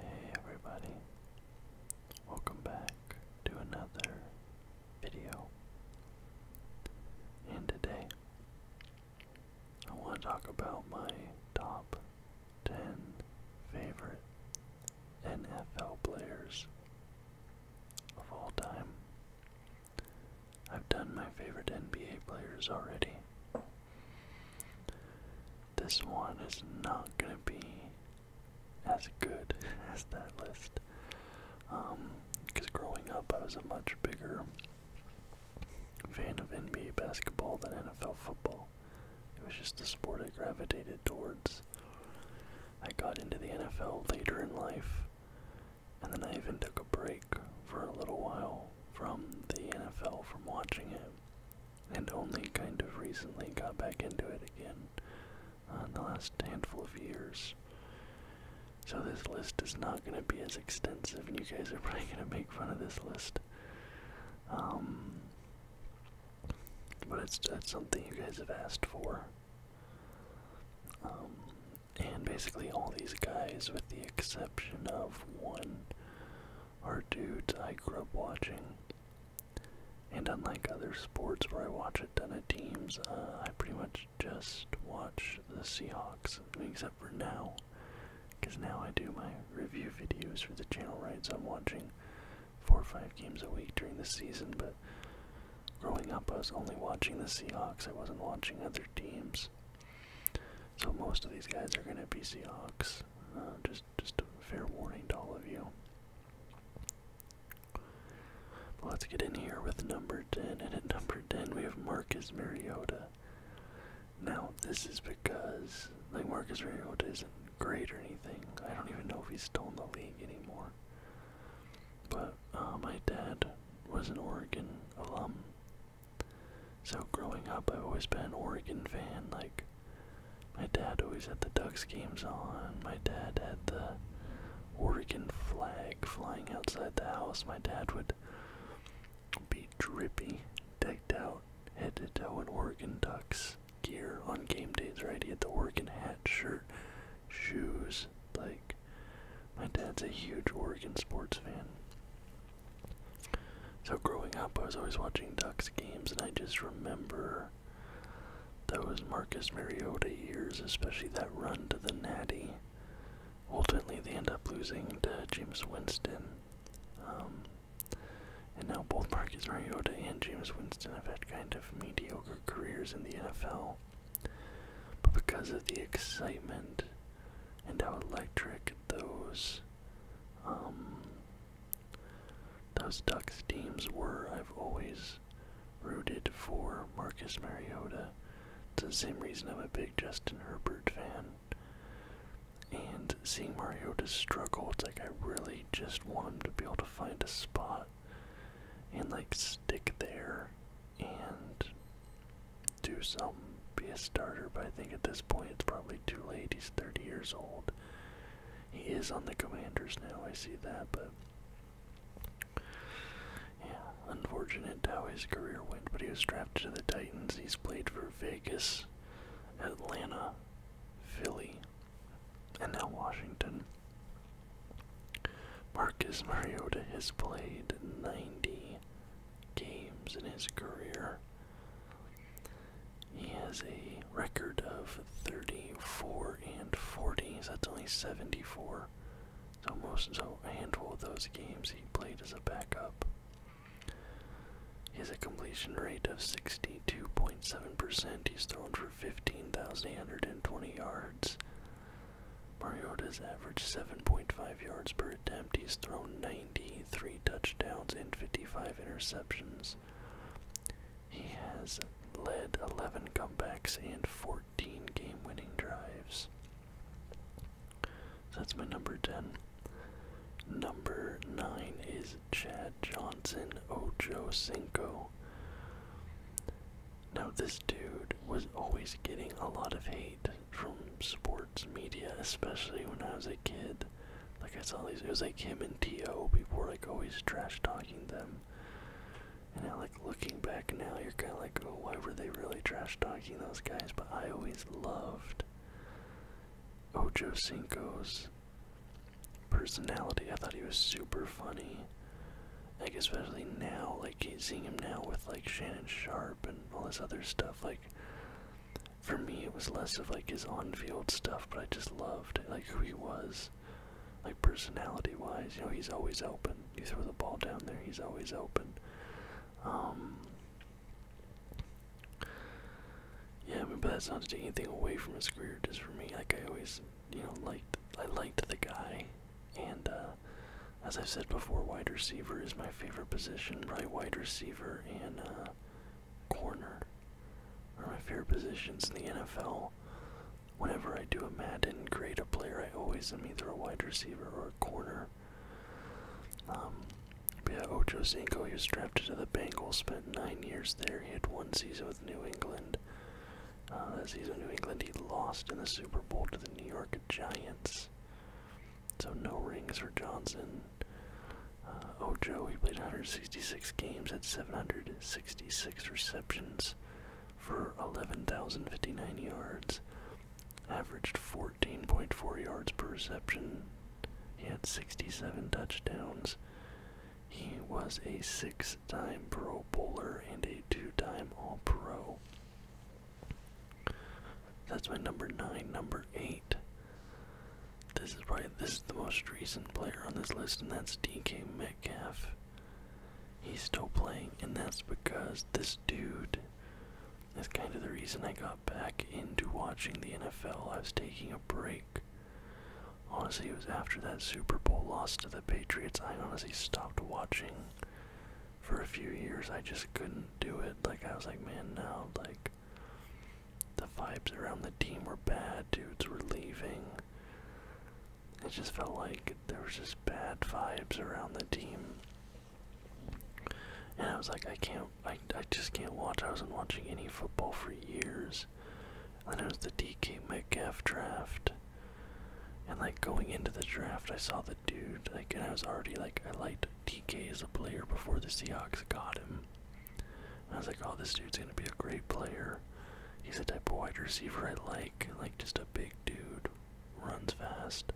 Hey everybody, welcome back to another video. And today, I want to talk about my top 10 favorite NFL players of all time. I've done my favorite NBA players already this one is not gonna be as good as that list. Because um, growing up, I was a much bigger fan of NBA basketball than NFL football. It was just the sport I gravitated towards. I got into the NFL later in life, and then I even took a break for a little while from the NFL from watching it and only kind of recently got back into it again uh, in the last handful of years. So this list is not going to be as extensive, and you guys are probably going to make fun of this list. Um, but it's that's something you guys have asked for. Um, and basically all these guys, with the exception of one, are dudes I grew up watching. And unlike other sports where I watch a ton of teams, uh, I pretty much just watch the Seahawks, except for now. Because now I do my review videos for the channel, right? So I'm watching four or five games a week during the season, but growing up I was only watching the Seahawks, I wasn't watching other teams. So most of these guys are going to be Seahawks. Uh, just, just a fair warning to all of you. let's get in here with number 10, and at number 10 we have Marcus Mariota. Now, this is because, like, Marcus Mariota isn't great or anything. I don't even know if he's still in the league anymore. But uh, my dad was an Oregon alum, so growing up, I've always been an Oregon fan. Like, my dad always had the Ducks games on. My dad had the Oregon flag flying outside the house. My dad would be drippy, decked out, head to toe in Oregon Ducks gear on game days, right? He had the Oregon hat, shirt, shoes. Like, my dad's a huge Oregon sports fan. So growing up, I was always watching Ducks games, and I just remember those Marcus Mariota years, especially that run to the Natty. Ultimately, they end up losing to James Winston. Um, and now both Marcus Mariota and James Winston have had kind of mediocre careers in the NFL. But because of the excitement and how electric those um, those Ducks teams were, I've always rooted for Marcus Mariota. It's the same reason I'm a big Justin Herbert fan. And seeing Mariota struggle, it's like I really just want him to be able to find a spot and like stick there and do something be a starter, but I think at this point it's probably too late. He's 30 years old. He is on the Commanders now, I see that, but yeah, unfortunate how his career went, but he was drafted to the Titans. He's played for Vegas, Atlanta, Philly, and now Washington. Marcus Mariota has played 90 games in his career. He has a record of 34 and 40, that's only 74. So most so handful of those games he played as a backup. He has a completion rate of 62.7%. He's thrown for 15,820 yards. Mariota's averaged 7.5 yards per attempt. He's thrown nine. Three touchdowns and 55 interceptions. He has led 11 comebacks and 14 game winning drives. that's my number 10. Number 9 is Chad Johnson Ocho Cinco. Now, this dude was always getting a lot of hate from sports media, especially when I was a kid good. Like I saw these, it was like him and T.O. People were like always trash talking them. And now, like looking back now, you're kind of like, oh, why were they really trash talking those guys? But I always loved Ocho Cinco's personality. I thought he was super funny. Like especially now, like seeing him now with like Shannon Sharp and all this other stuff, like for me it was less of like his on-field stuff, but I just loved like who he was, like personality-wise. You know, he's always open. He throws the ball down there, he's always open. Um, yeah, I mean, but that's not to take anything away from his career. Just for me, like I always, you know, liked I liked the guy, and uh, as I've said before, wide receiver is my favorite position. Right, wide receiver and. Uh, corner are my favorite positions in the NFL. Whenever I do a Madden grade a player, I always am either a wide receiver or a corner. Um, yeah, Ocho Cinco, he was drafted to the Bengals, spent nine years there. He had one season with New England. Uh, that season, New England, he lost in the Super Bowl to the New York Giants. So no rings for Johnson. Uh, Ojo, he played 166 games at 766 receptions for 11,059 yards, averaged 14.4 yards per reception. He had 67 touchdowns. He was a six time Pro Bowler and a two time All Pro. That's my number nine. Number eight this is probably this is the most recent player on this list, and that's DK Metcalf. He's still playing, and that's because this dude is kind of the reason I got back into watching the NFL. I was taking a break. Honestly, it was after that Super Bowl loss to the Patriots. I honestly stopped watching for a few years. I just couldn't do it. Like I was like, man, now like the vibes around the team were bad, dudes were leaving. It just felt like there was just bad vibes around the team. And I was like, I can't, I, I just can't watch. I wasn't watching any football for years. And then it was the DK Metcalf draft. And like going into the draft, I saw the dude, like, and I was already like, I liked DK as a player before the Seahawks got him. I was like, oh, this dude's gonna be a great player. He's the type of wide receiver I like, like just a big dude, runs fast.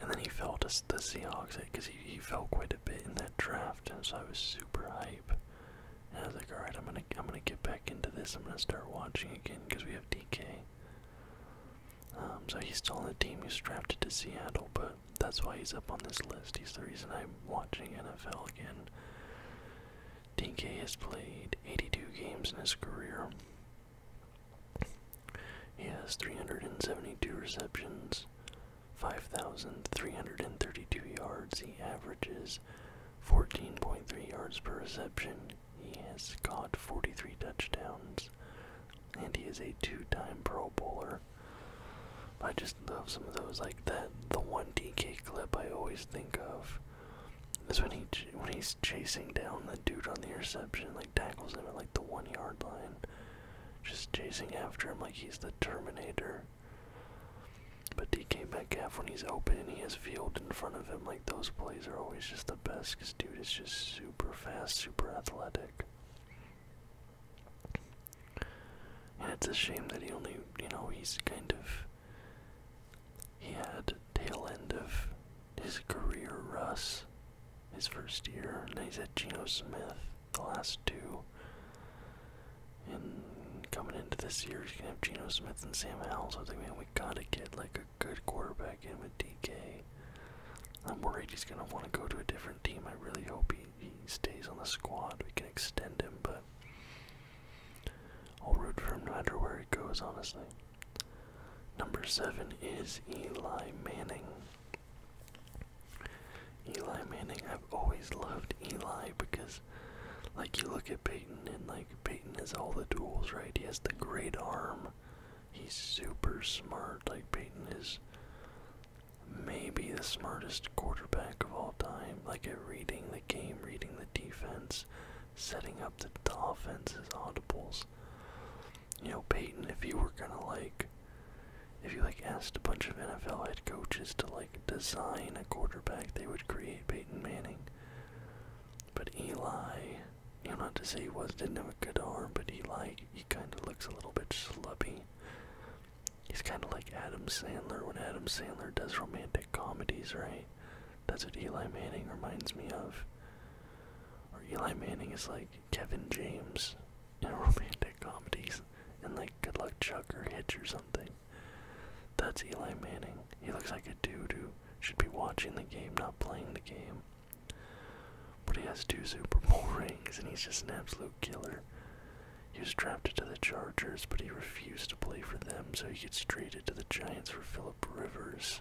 And then he fell to the Seahawks because he, he fell quite a bit in that draft, and so I was super hype. And I was like, all right, I'm gonna I'm gonna get back into this. I'm gonna start watching again because we have DK. Um, so he's still on the team. He's drafted to Seattle, but that's why he's up on this list. He's the reason I'm watching NFL again. DK has played 82 games in his career. He has 372 receptions, 5,332 yards. He averages 14.3 yards per reception. He has caught 43 touchdowns, and he is a two time Pro Bowler. I just love some of those like that. The one DK clip I always think of is when he when he's chasing down the dude on the interception, like tackles him at like the one yard line, just chasing after him like he's the Terminator. But DK Metcalf when he's open and he has field in front of him, like those plays are always just the best because dude is just super fast, super athletic. And it's a shame that he only, you know, he's kind of. He had tail end of his career, Russ, his first year, and he's at Geno Smith the last two. And coming into this year, he's gonna have Geno Smith and Sam Howell. So I think, man, we gotta get like a good quarterback in with DK. I'm worried he's gonna want to go to a different team. I really hope he he stays on the squad, we can extend him, but I'll root for him no matter where he goes, honestly. Number seven is Eli Manning. Eli Manning, I've always loved Eli because, like, you look at Peyton and, like, Peyton has all the tools, right? He has the great arm. He's super smart. Like, Peyton is maybe the smartest quarterback of all time. Like at reading the game, reading the defense, setting up the, the offenses, audibles. You know, Peyton, if you were gonna like, if you like asked a bunch of NFL head coaches to like design a quarterback, they would create Peyton Manning. But Eli, you know, not to say he was didn't have a good arm, but Eli, he kind of looks a little bit slubby. He's kind of like Adam Sandler when Adam Sandler does romantic comedies, right? That's what Eli Manning reminds me of. Or Eli Manning is like Kevin James in romantic comedies, and like Good Luck Chuck or Hitch or something. That's Eli Manning. He looks like a dude who should be watching the game, not playing the game but he has two Super Bowl rings and he's just an absolute killer. He was drafted to the Chargers, but he refused to play for them, so he gets traded to the Giants for Philip Rivers.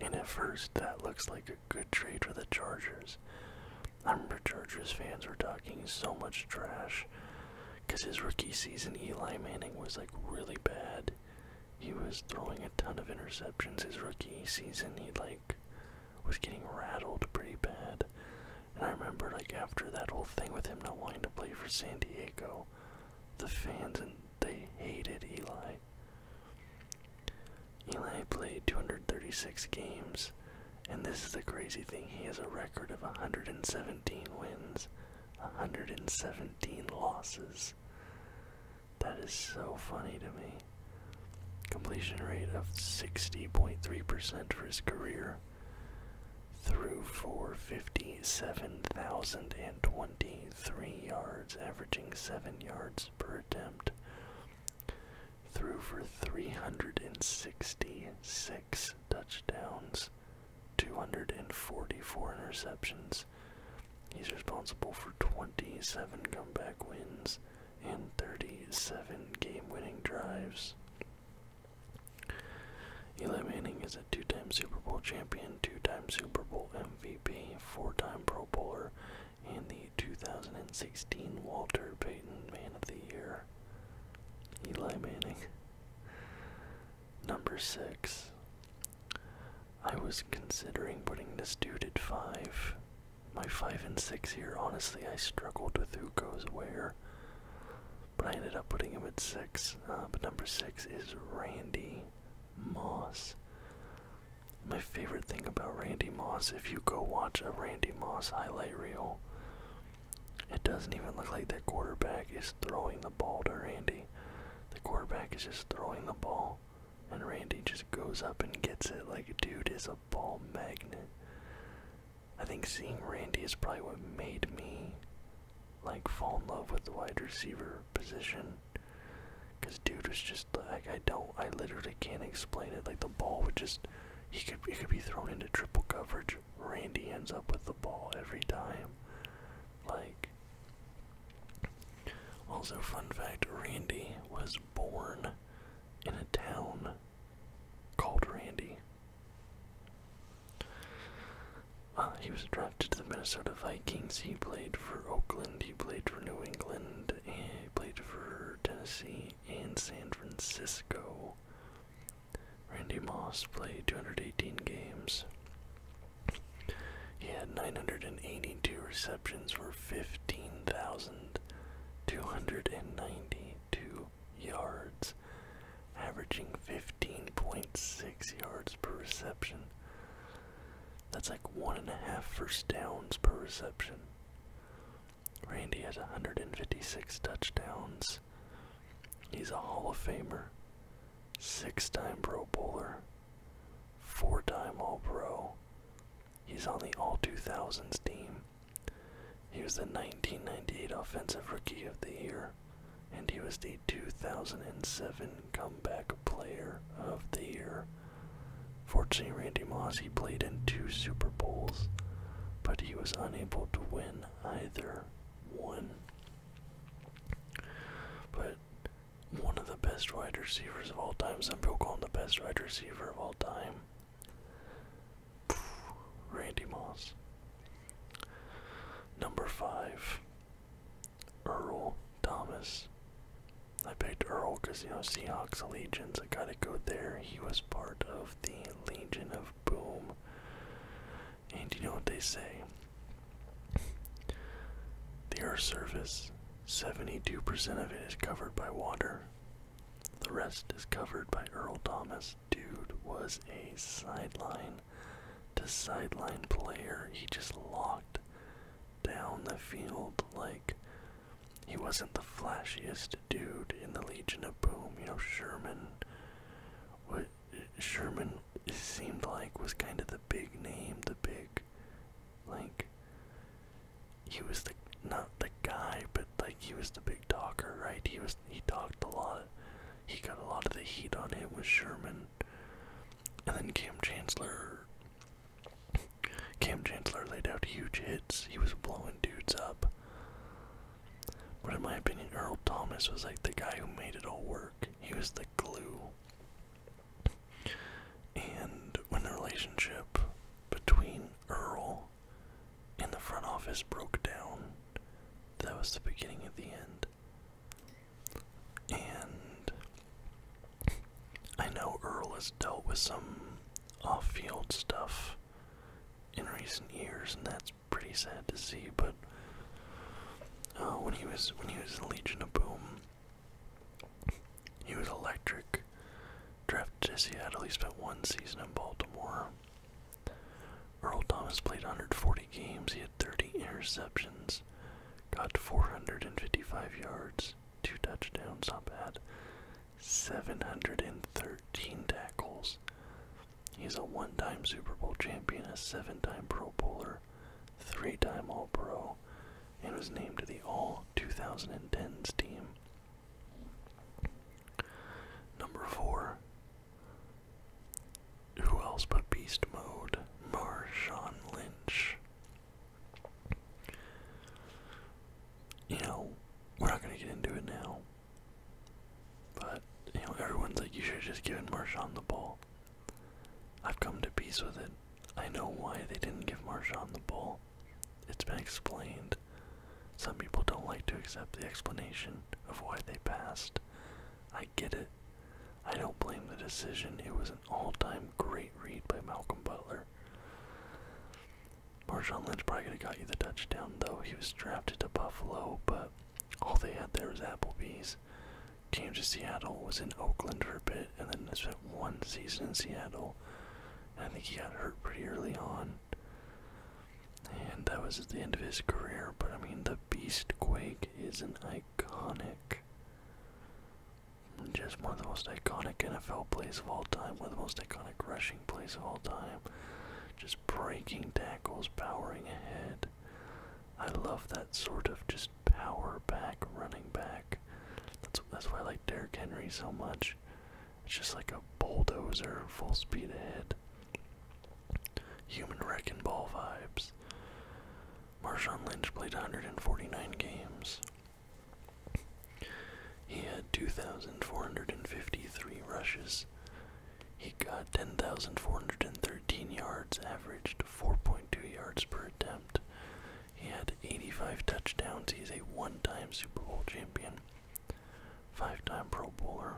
And at first, that looks like a good trade for the Chargers. I remember Chargers fans were talking so much trash because his rookie season, Eli Manning was like really bad. He was throwing a ton of interceptions his rookie season. He like was getting rattled pretty bad. And I remember like after that whole thing with him not wanting to play for San Diego, the fans and they hated Eli. Eli played 236 games, and this is the crazy thing. He has a record of 117 wins, 117 losses. That is so funny to me. Completion rate of 60.3% for his career through for 57,023 yards, averaging 7 yards per attempt. Threw for 366 touchdowns, 244 interceptions. He's responsible for 27 comeback wins, and 37 game-winning drives. Eli Manning is a two-time Super Bowl champion, two-time Super Bowl MVP, four-time Pro Bowler, and the 2016 Walter Payton Man of the Year. Eli Manning. Number six. I was considering putting this dude at five, my 5 and 6 here, honestly, I struggled with who goes where. But I ended up putting him at 6. Uh, but number 6 is Randy Moss. My favorite thing about Randy Moss, if you go watch a Randy Moss highlight reel, it doesn't even look like that quarterback is throwing the ball to Randy. The quarterback is just throwing the ball, and Randy just goes up and gets it. Like, a dude is a ball magnet. I think seeing Randy is probably what made me like fall in love with the wide receiver position. Cause dude was just like I don't I literally can't explain it. Like the ball would just he could it could be thrown into triple coverage. Randy ends up with the ball every time. Like also fun fact, Randy was born in a town called Randy. Uh, he was drafted to the Minnesota Vikings. He played for Oakland, he played for New England, he played for Tennessee and San Francisco. Randy Moss played 218 games. He had 982 receptions for 15,000 292 yards, averaging 15.6 yards per reception. That's like one and a half first downs per reception. Randy has 156 touchdowns. He's a Hall of Famer, six time Pro Bowler, four time All Pro, He's on the All 2000s team. He was the 1998 Offensive Rookie of the Year, and he was the 2007 Comeback Player of the Year. Fortunately, Randy Moss, he played in two Super Bowls, but he was unable to win either one. But one of the best wide receivers of all time. Some people call him the best wide receiver of all time. Randy Moss. Number five, Earl Thomas. I picked Earl because, you know, Seahawks Allegiance, I gotta go there. He was part of the Legion of Boom. And you know what they say? The Earth's surface, 72% of it is covered by water, the rest is covered by Earl Thomas. Dude was a sideline to sideline player. He just locked down the field like he wasn't the flashiest dude in the Legion of Boom. You know, Sherman what Sherman seemed like was kind of the big name, the big like he was the not the guy, but like he was the big talker, right? He was he talked a lot. He got a lot of the heat on him with Sherman. And then Cam Chancellor Cam Chancellor laid out huge hits. He was blowing dudes up. But in my opinion, Earl Thomas was like the guy who made it all work. He was the glue. And when the relationship between Earl in the front office broke down. That was the beginning of the end. And I know Earl has dealt with some off field stuff in recent years, and that's pretty sad to see, but uh, when he was when he was in Legion of Boom, he was electric. Drafted to Seattle, he spent one season in Baltimore. Earl Thomas played 140 games. He had 30 interceptions, got 455 yards, two touchdowns, not bad. 713 tackles. He's a one-time Super Bowl champion, a seven-time Pro Bowler, three-time All-Pro, and was named to the All 2010s team. Number four. Who else but Beast Mode? Marshawn Lynch. You know, we're not gonna get into it now. But, you know, everyone's like, you should have just given Marshawn the ball. I've come to peace with it. I know why they didn't give Marshawn the ball it's been explained. Some people don't like to accept the explanation of why they passed. I get it. I don't blame the decision. It was an all-time great read by Malcolm Butler. Marshawn Lynch probably could have got you the touchdown, though. He was drafted to Buffalo, but all they had there was Applebee's. Came to Seattle, was in Oakland for a bit, and then spent one season in Seattle. I think he got hurt pretty early on. And that was at the end of his career, but I mean, the Beast Quake is an iconic. Just one of the most iconic NFL plays of all time, one of the most iconic rushing plays of all time. Just breaking tackles, powering ahead. I love that sort of just power back, running back. That's, that's why I like Derrick Henry so much. It's just like a bulldozer full speed ahead. Human wrecking ball vibes. Marshawn Lynch played 149 games. He had 2,453 rushes. He got 10,413 yards, averaged 4.2 yards per attempt. He had 85 touchdowns. He's a one time Super Bowl champion. Five time Pro Bowler.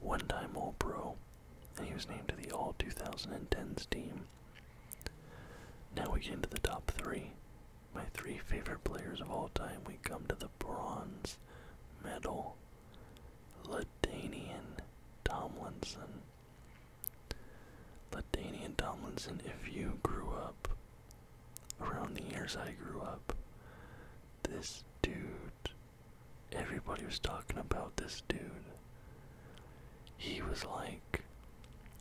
One time All Pro. And he was named to the All 2010s team. Now we get into the top three. My three favorite players of all time. We come to the bronze medal. Ladanian Tomlinson. Ladanian Tomlinson, if you grew up around the years I grew up. This dude, everybody was talking about this dude. He was like,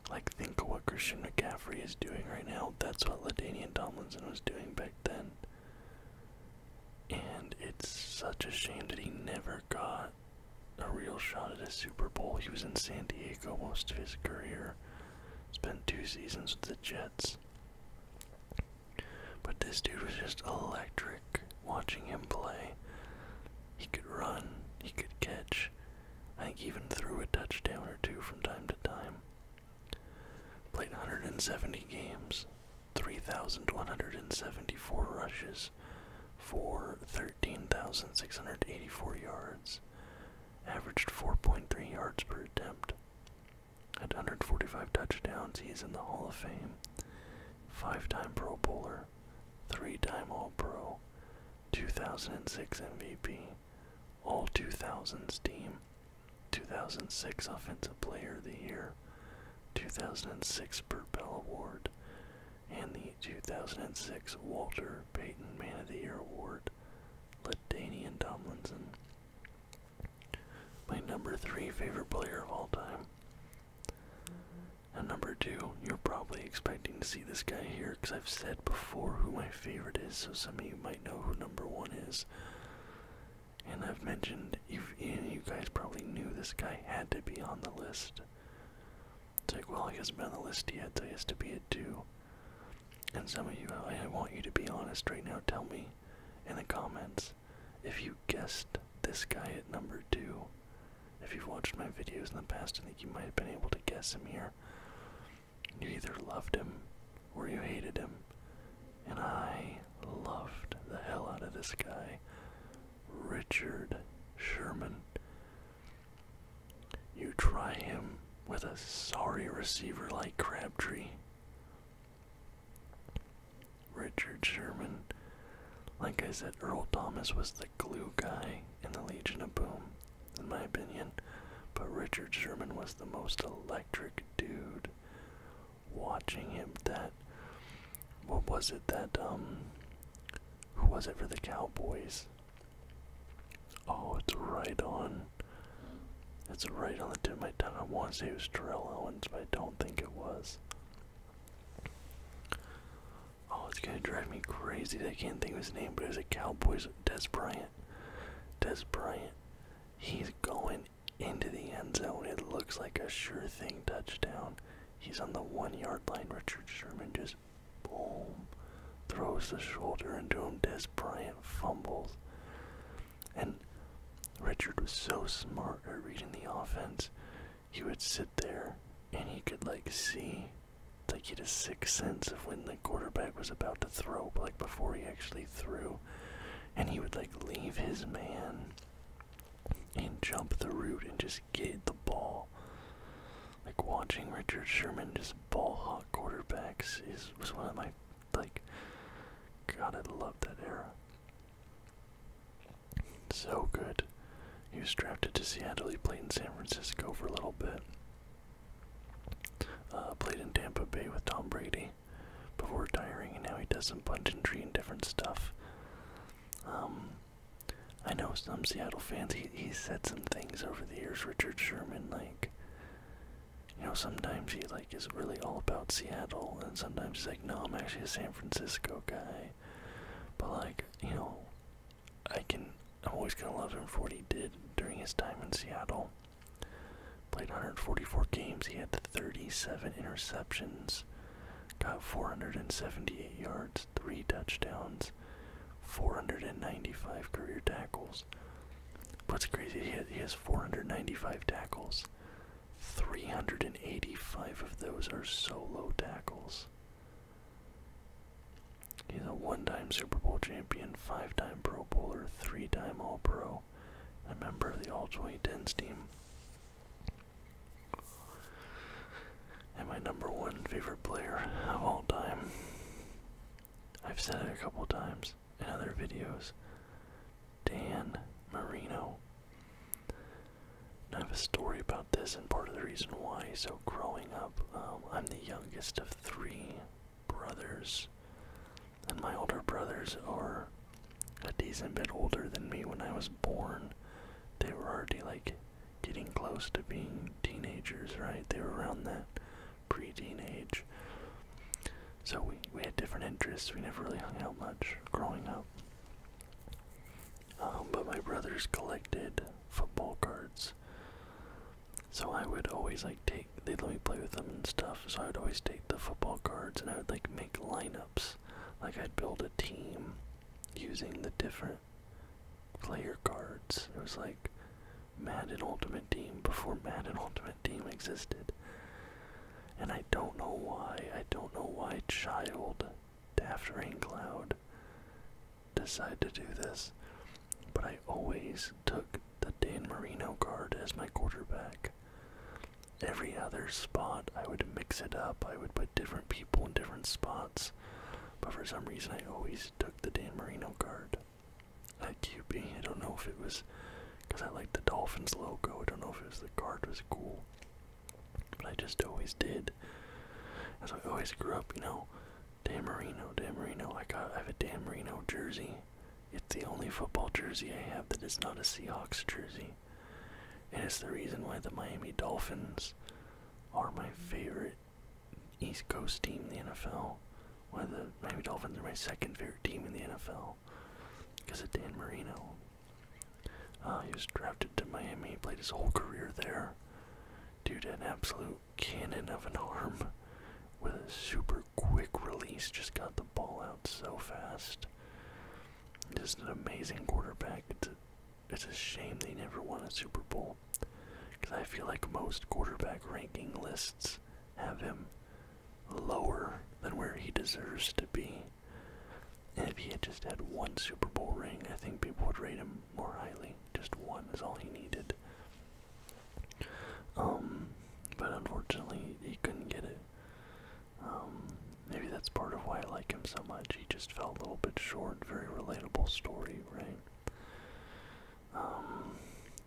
like think of what Christian McCaffrey is doing right now. That's what Ladainian Tomlinson was doing back then. And it's such a shame that he never got a real shot at a Super Bowl. He was in San Diego most of his career. Spent two seasons with the Jets. But this dude was just electric watching him play. He could run, he could catch. I think even threw a touchdown or two from time to time. Played 170 games, 3,174 rushes for 13,684 yards, averaged 4.3 yards per attempt. At 145 touchdowns, he is in the Hall of Fame. Five time Pro Bowler, three time All Pro, 2006 MVP, All 2000s team, 2006 Offensive Player of the Year, 2006 Burt Bell Award, and the 2006 Walter Payton Man of the Year Award Ladanian Tomlinson. My number three favorite player of all time. And number two, you're probably expecting to see this guy here because I've said before who my favorite is, so some of you might know who number one is. And I've mentioned, if you guys probably knew this guy had to be on the list. It's like, well, he hasn't been on the list yet, he has to be at two. And some of you, I want you to be honest right now. Tell me in the comments if you guessed this guy at number two. If you've watched my videos in the past, I think you might have been able to guess him here. You either loved him or you hated him. And I loved the hell out of this guy, Richard Sherman. You try him with a sorry receiver like Crabtree. Richard Sherman, like I said, Earl Thomas was the glue guy in the Legion of Boom, in my opinion, but Richard Sherman was the most electric dude. Watching him, that what was it that um, who was it for the Cowboys? Oh, it's right on. It's right on the tip of my tongue. I want to say it was Terrell Owens, but I don't think it was. Oh, it's gonna drive me crazy. I can't think of his name, but it was a Cowboys. Des Bryant. Des Bryant. He's going into the end zone. It looks like a sure thing touchdown. He's on the one yard line. Richard Sherman just Boom. Throws the shoulder into him. Des Bryant fumbles. And Richard was so smart at reading the offense. He would sit there and he could, like, see. Like, he had a sixth sense of when the quarterback was about to throw, like, before he actually threw. And he would, like, leave his man and jump the route and just get the ball like watching Richard Sherman just ball hawk quarterbacks is was one of my like God I love that era. So good. He was drafted to Seattle, he played in San Francisco for a little bit. Uh, played in Tampa Bay with Tom Brady before retiring, and now he does some tree and different stuff. Um, I know some Seattle fans. He he said some things over the years, Richard Sherman, like you know, sometimes he like is really all about Seattle, and sometimes he's like, no, I'm actually a San Francisco guy. But like, you know, I can. I'm always gonna love him for what he did during his time in Seattle. Played 144 games. He had 37 interceptions. Got 478 yards, three touchdowns. 495 career tackles. What's crazy? He has, he has 495 tackles. 385 of those are solo tackles. He's a one-time Super Bowl champion, five-time Pro Bowler, three-time All-Pro, a member of the All-2010s team. And my number one favorite player of all time. I've said it a couple times in other videos. Dan Marino. I have a story about this, and part of the reason why. So, growing up, um, I'm the youngest of three brothers, and my older brothers are a decent bit older than me when I was born. They were already like getting close to being teenagers, right? They were around that preteen age. So we, we had different interests. We never really hung out much growing up. Um, but my brothers collected football cards. So I would always like take, they'd let me play with them and stuff. So I would always take the football cards and I would like make lineups. Like I'd build a team using the different player cards. It was like Madden Ultimate Team before Madden Ultimate Team existed. And I don't know why, I don't know why Child, Daft Raincloud, decided to do this, but I always took the Dan Marino guard as my quarterback. Every other spot, I would mix it up, I would put different people in different spots, but for some reason I always took the Dan Marino guard at QB. I don't know if it was because I liked the Dolphins logo. I don't know if it was the card was cool, but I just always did. As I always grew up, you know, Dan Marino, Dan Marino. Like I, I have a Dan Marino jersey. It's the only football jersey I have that is not a Seahawks jersey, and it's the reason why the Miami Dolphins are my favorite East Coast team the NFL. One the Miami Dolphins are my second favorite team in the NFL because of Dan Marino. Uh, he was drafted to Miami, he played his whole career there. Dude had an absolute cannon of an arm with a super quick release, just got the ball out so fast. Just an amazing quarterback. it's a shame they never won a Super Bowl because I feel like most quarterback ranking lists have him lower than where he deserves to be. And if he had just had one Super Bowl ring, I think people would rate him more highly. Just one is all he needed. Um, but unfortunately, he couldn't get it. Um, maybe that's part of why I like him so much. He just felt a little bit short. Very relatable story, right? Um,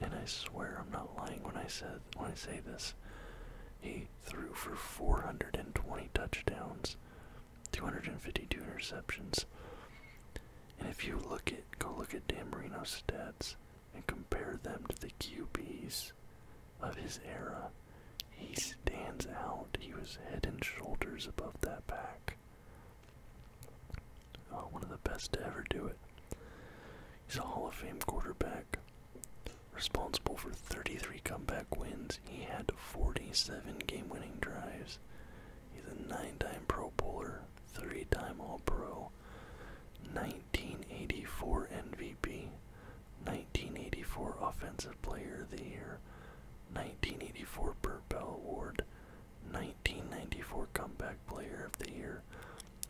and I swear I'm not lying when I said when I say this. He threw for 420 touchdowns, 252 interceptions. And if you look at go look at Dan Marino's stats and compare them to the QBs of his era, he stands out. He was head and shoulders above that pack. Oh, one of the best to ever do it. He's a Hall of Fame quarterback. Responsible for 33 comeback wins, he had 47 game winning drives. He's a nine time Pro Bowler, three time All Pro, 1984 MVP, 1984 Offensive Player of the Year, 1984 Burt Bell Award, 1994 Comeback Player of the Year,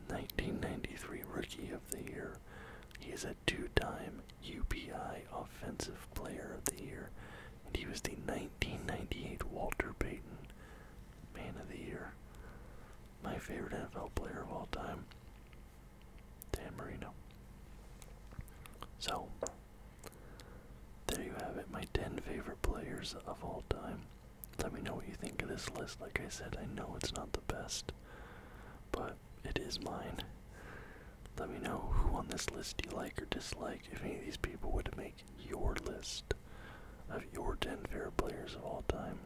1993 Rookie of the Year. He is a two time UPI Offensive Player of the Year, and he was the 1998 Walter Payton Man of the Year. My favorite NFL player of all time, Dan Marino. So, there you have it, my 10 favorite players of all time. Let me know what you think of this list. Like I said, I know it's not the best but it is mine. Let me know who on this list you like or dislike. If any of these people would make your list of your 10 favorite players of all time.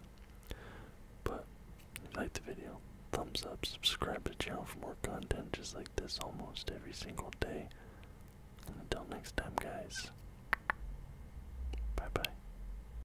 But if you like the video, thumbs up, subscribe to the channel for more content just like this almost every single day. And until next time, guys, bye bye.